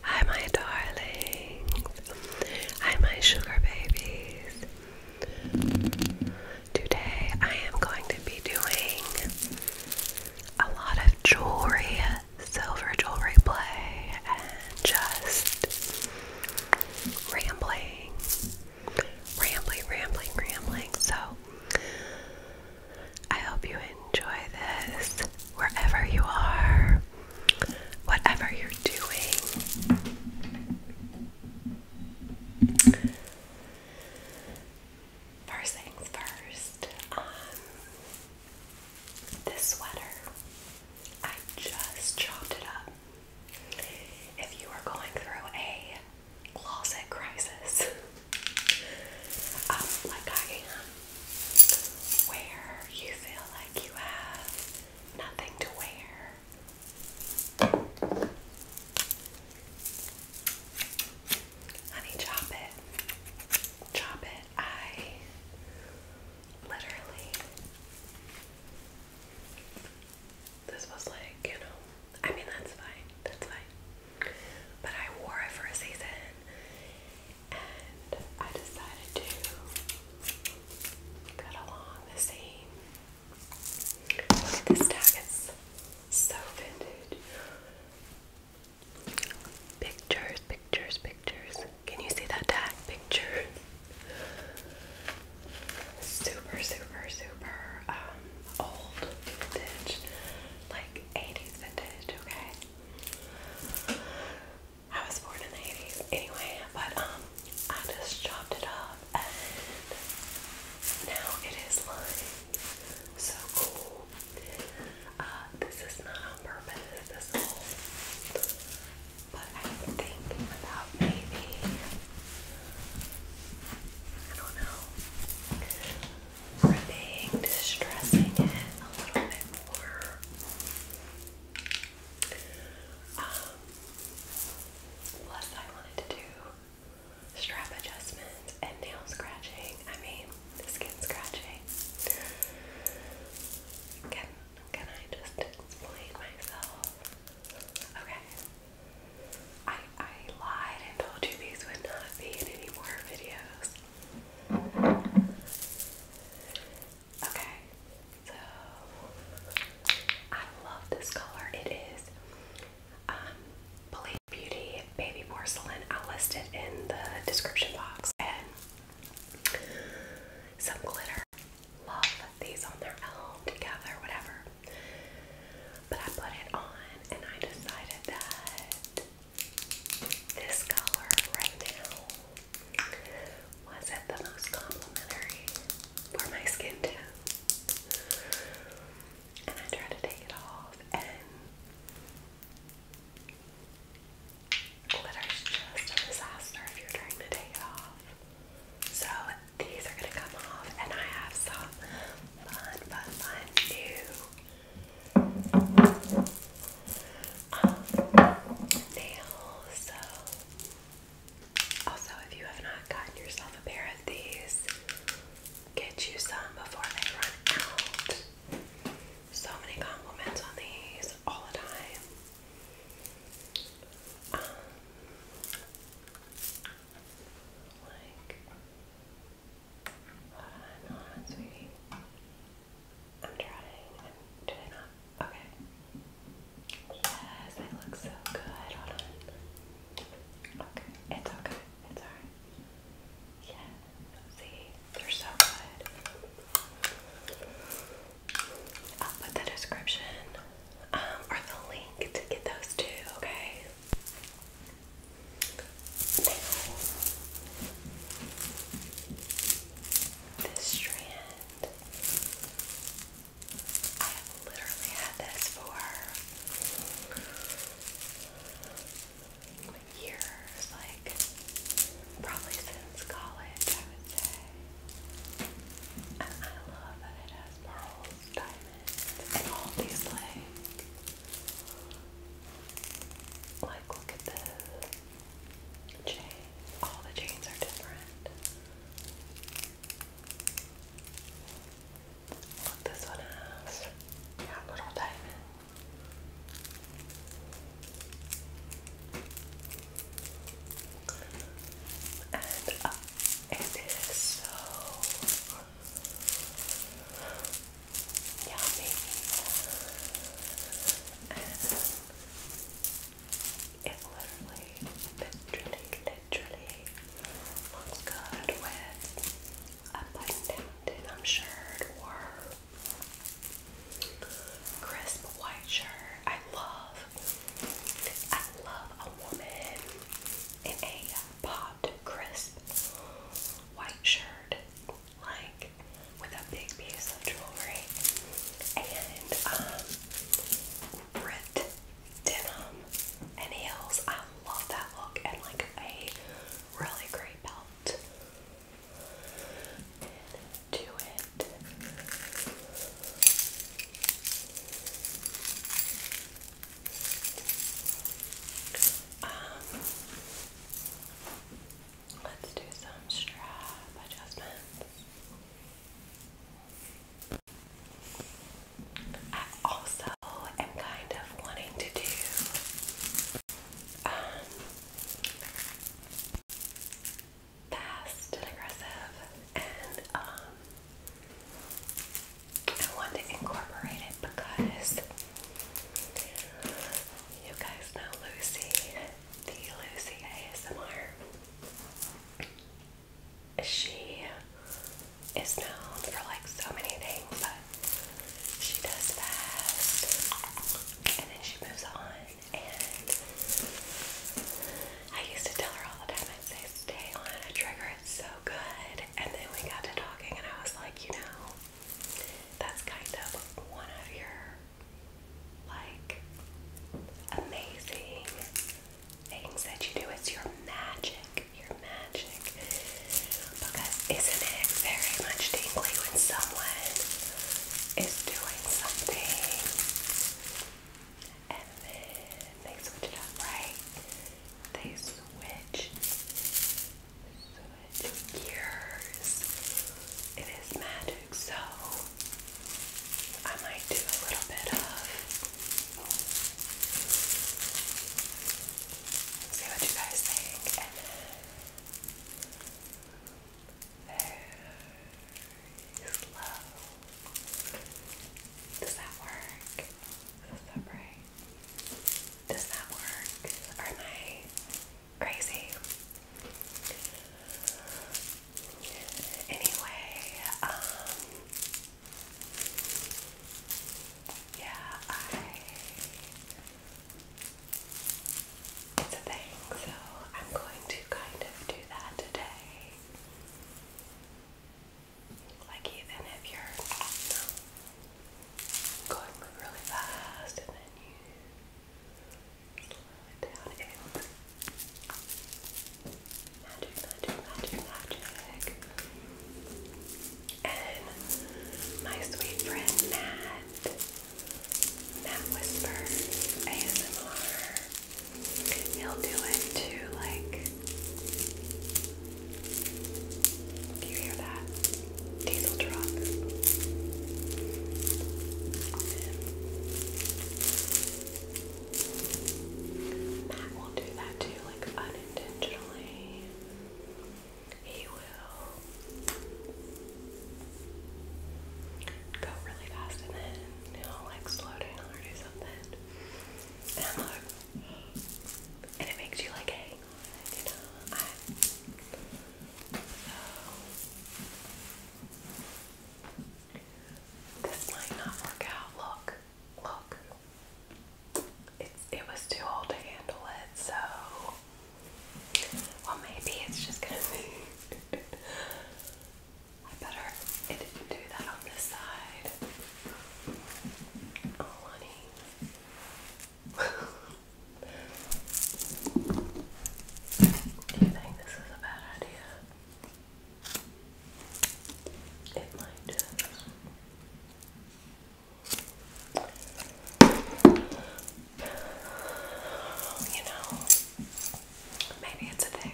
Hi, my darlings. Hi, my sugar babies. Today I am going to be doing a lot of jewelry, silver jewelry play, and just rambling, rambling, rambling, rambling. So I hope you enjoy this wherever you are, whatever you're doing. First things first, um, this sweater, I just chopped it up. If you are going through a closet crisis, um, like I am, where you feel like you have nothing to wear. Honey, chop it. Chop it. I literally. This was like, you know, I mean, that's fine. That's fine. But I wore it for a season and I decided to cut along the seam. Look at this tag, it's so vintage. Pictures, pictures, pictures. Can you see that tag? Pictures. Super, super, super um, old vintage. Like 80s vintage, okay? I was born in the 80s anyway, but um, I just chopped it up and now it is lined. So cool. Uh, this is not on purpose, this whole, but I think about maybe, I don't know, rubbing, distressing it a little bit more. Um, plus, I wanted to do strap adjustments and nail scratching. I mean, skin scratching. Can can I just explain myself? Okay. I I lied and told you these would not be any more videos. Okay, so I love this color. It is um, Believe Beauty Baby Porcelain. I'll list it in the description box. And some glitter. Love these on their own, together, whatever. But I put it on and I decided that this color right now wasn't the most complimentary for my skin tone. And I tried to take it off and glitter's just a disaster if you're trying to take it off. So these are gonna come off and I have some fun, fun, fun new um, nails. So, also, if you have not gotten yourself a pair of these, get you some before they run out. So many compliments on these all the time. Um, like Hold on, hold on, sweetie. I'm trying. I'm, did I not? Okay. Yes, that looks so good. Hold on. Okay, it's okay. It's alright. Yes. See, they're so good. I'll put the description um, or the link to get those too. Okay. Now, this strand, I have literally had this for years, like probably since college, I would say. And I love that it has pearls, diamonds, all these like like, look at the chain. All the chains are different. Look, this one has a little diamond. And uh, it is so Yummy. it literally, literally, literally looks good with a button-down denim shirt or crisp white shirt. I love, I love a woman in a popped, crisp white shirt, like with a big piece of jewelry and um, denim and heels. I love that look and like a really great belt to it. Um, let's do some strap adjustments. I also am kind of wanting to do um, fast and aggressive and um, I want to incorporate it because you guys know Lucy, the Lucy ASMR. She is known for like so many things, but she does the best. and then she moves on. And I used to tell her all the time, i say, guys on a trigger. It's so good. And then we got to talking, and I was like, you know, that's kind of one of your like amazing things that you do. It's your magic, your magic. Because isn't it very much tingly when someone is doing something and then they switch it up, right? They switch, switch gears. It is magic, so I might do a little bit of see what you guys think, and then does that work? Is that right? Does that work? am I crazy? Anyway, um, yeah, it's a thing, so I'm going to kind of do that today. Like even if you're going really fast and then you slow it down, it's magic, magic, magic, magic. And my sweet friend Matt, Matt Whispers ASMR. He'll do it to like. Do you hear that? Diesel truck. Matt will do that too, like unintentionally. He will go really fast and then he'll like slow down or do something. And it makes you like you know. this might not work out. Look, look. It's it was too old to handle it, so well maybe it's just gonna be I better, it didn't do that on this side. Oh, honey. do you think this is a bad idea? It might You know, maybe it's a thing.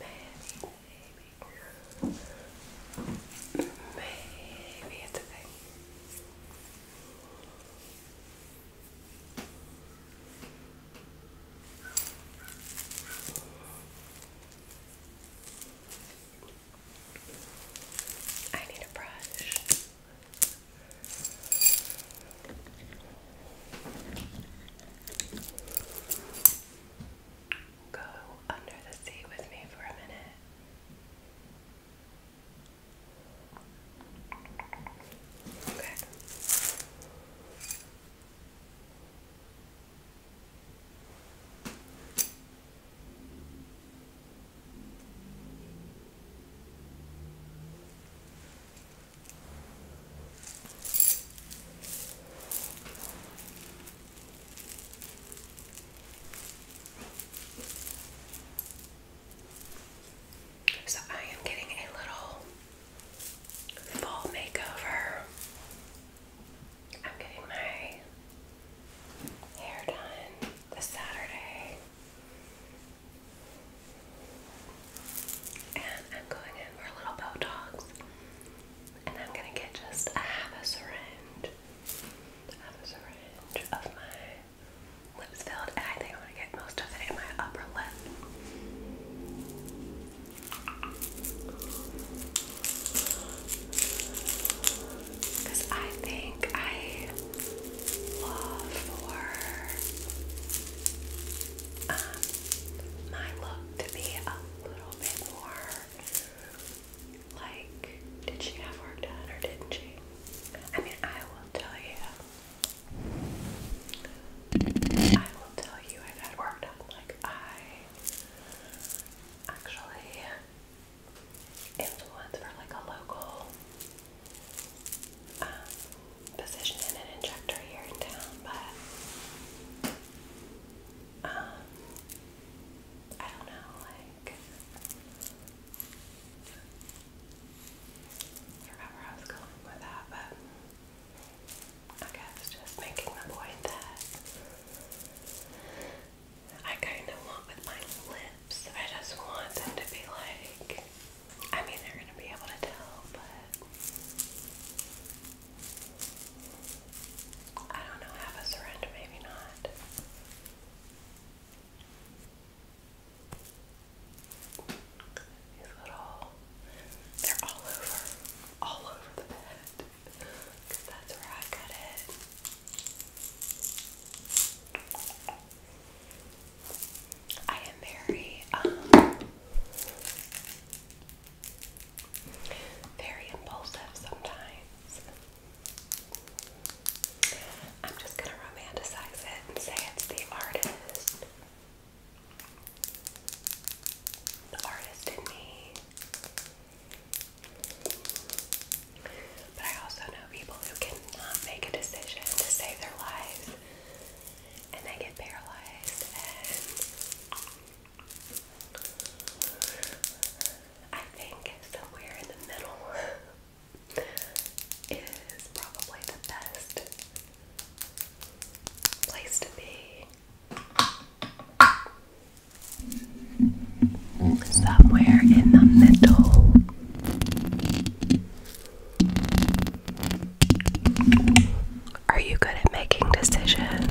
Maybe, maybe. it's a thing. I need a brush. Go under the sea with me for a minute. Okay. So I am getting a little fall makeover. I'm getting my hair done this Saturday. And I'm going in for a little Botox. And I'm gonna get just half a syringe. Half a syringe of my lips filled, and I think I'm gonna get most of it in my upper lip. I think I love for um, my look to be a little bit more like, did she have work done or didn't she? I mean, I will tell you, I will tell you I've had work done. Like, I actually influence for like a local um, physician an injector here in town, but um, I don't know, like, I I was going with that, but. I guess just making the point that I kind of want with my lips. I just want them to be like I mean, they're gonna be able to tell, but I don't know. Have a syringe, maybe not. These little, they're all over, all over the bed. Cause that's where I got it. I am very, um, very impulsive sometimes. I'm just gonna romanticize it and say it's the artist. The artist in me. But I also know people who cannot make a decision to save their lives and they get paralyzed and I think somewhere in the middle is probably the best place to be. Somewhere in the middle are you good at making decisions?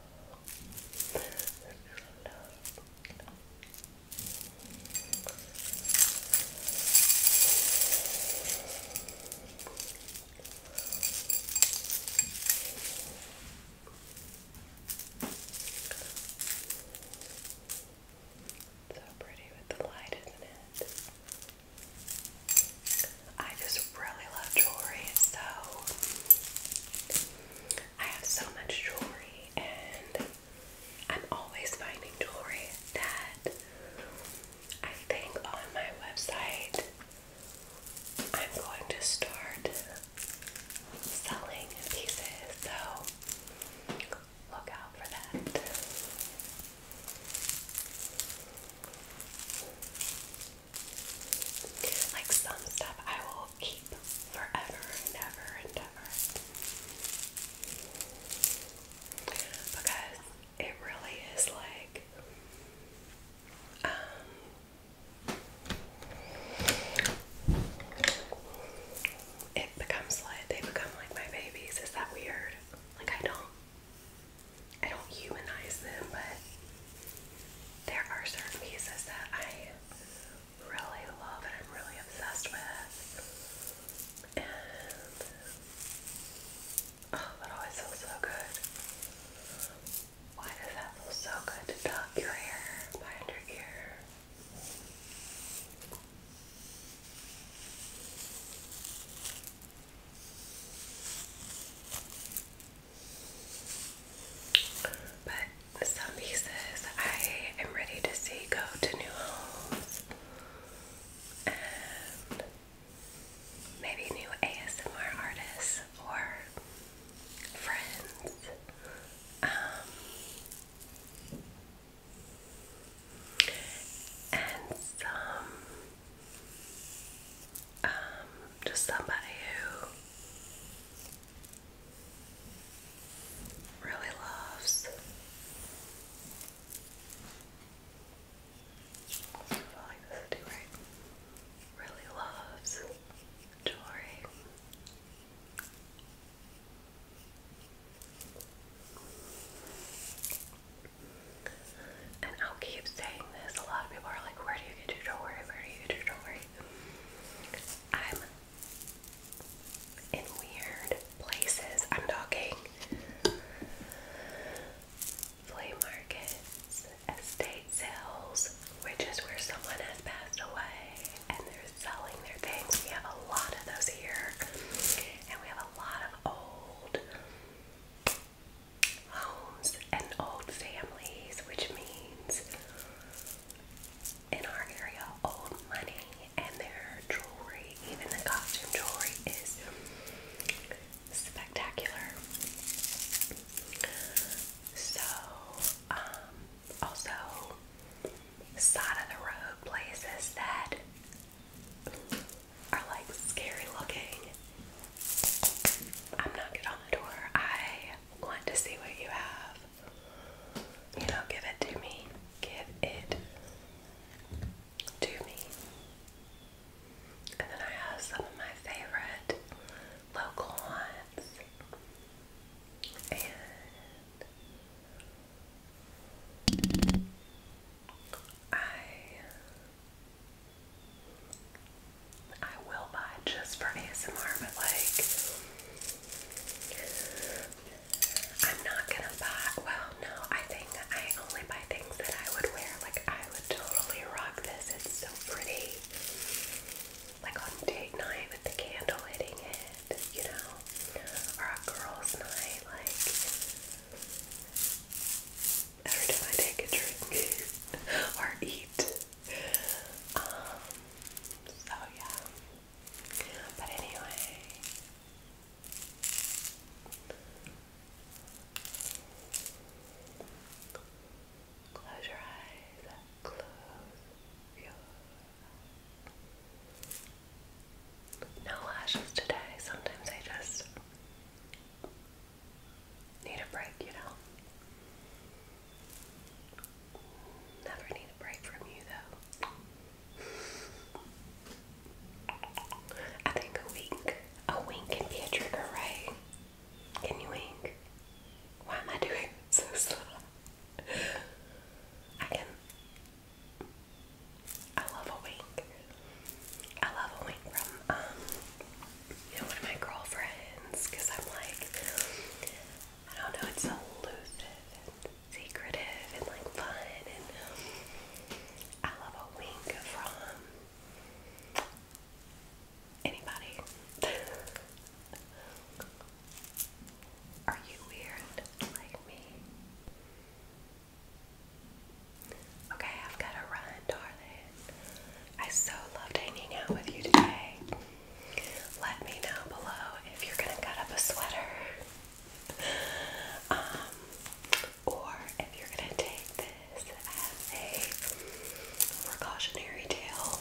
So pretty with the light, isn't it? I just really love jewelry, so I have so much jewelry, and I'm always finding jewelry that I think on my website I'm going to start selling pieces, so look out for that. Like some stuff I will keep forever and ever and ever. Because it really is like um, it becomes like they become like my babies. Is that weird? Like I don't I don't humanize them, but there are certain pieces that I really love and I'm really obsessed with. oh, that always feels so good. Why does that feel so good to tuck your hair behind your ear? But some pieces I am ready to see go to new homes and maybe new ASMR artists or friends. Um, and some um, just somebody who really loves really loves jewelry and I'll keep saying this. A lot of people are like, where do you get your jewelry? Where do you get your jewelry? I'm in weird places. I'm talking flea markets, estate sales, which is where someone has passed away and they're selling their things. We have a lot of those here. And we have a lot of old homes and old families, which means in our area, old money and their jewelry, even the costume jewelry, is spectacular. So, um, also, side of the road places that are like scary looking. I'm not getting on the door. I want to see what you have. You know, give it to me. Give it to me. And then I have some of my favorite local ones. And I I will buy just for ASMR, but like, I'm not gonna buy. Well, no, I think I only buy things that I would wear. Like, I would totally rock this. It's so pretty. Like on date night with the candle hitting it, you know, or a girls' night. Like, every time I take a drink or eat. Um, so yeah. But anyway. Close your eyes. Close your No lashes today. Sometimes I just Need a break, you know. Never need a break from you, though. I think a wink, a wink can be a trigger, right? Can you wink? Why am I doing so slow? I can. I love a wink. I love a wink from um, you know one of my girlfriends because I'm like I don't know, it's elusive and secretive and like fun and I love a wink from anybody. Are you weird like me? Okay, I've got to run, darling. I so loved hanging out with you today. Let me know below if you're going to cut up a sweater. Um, or if you're going to take this as a precautionary tale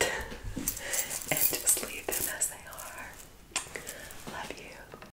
and just leave them as they are. Love you.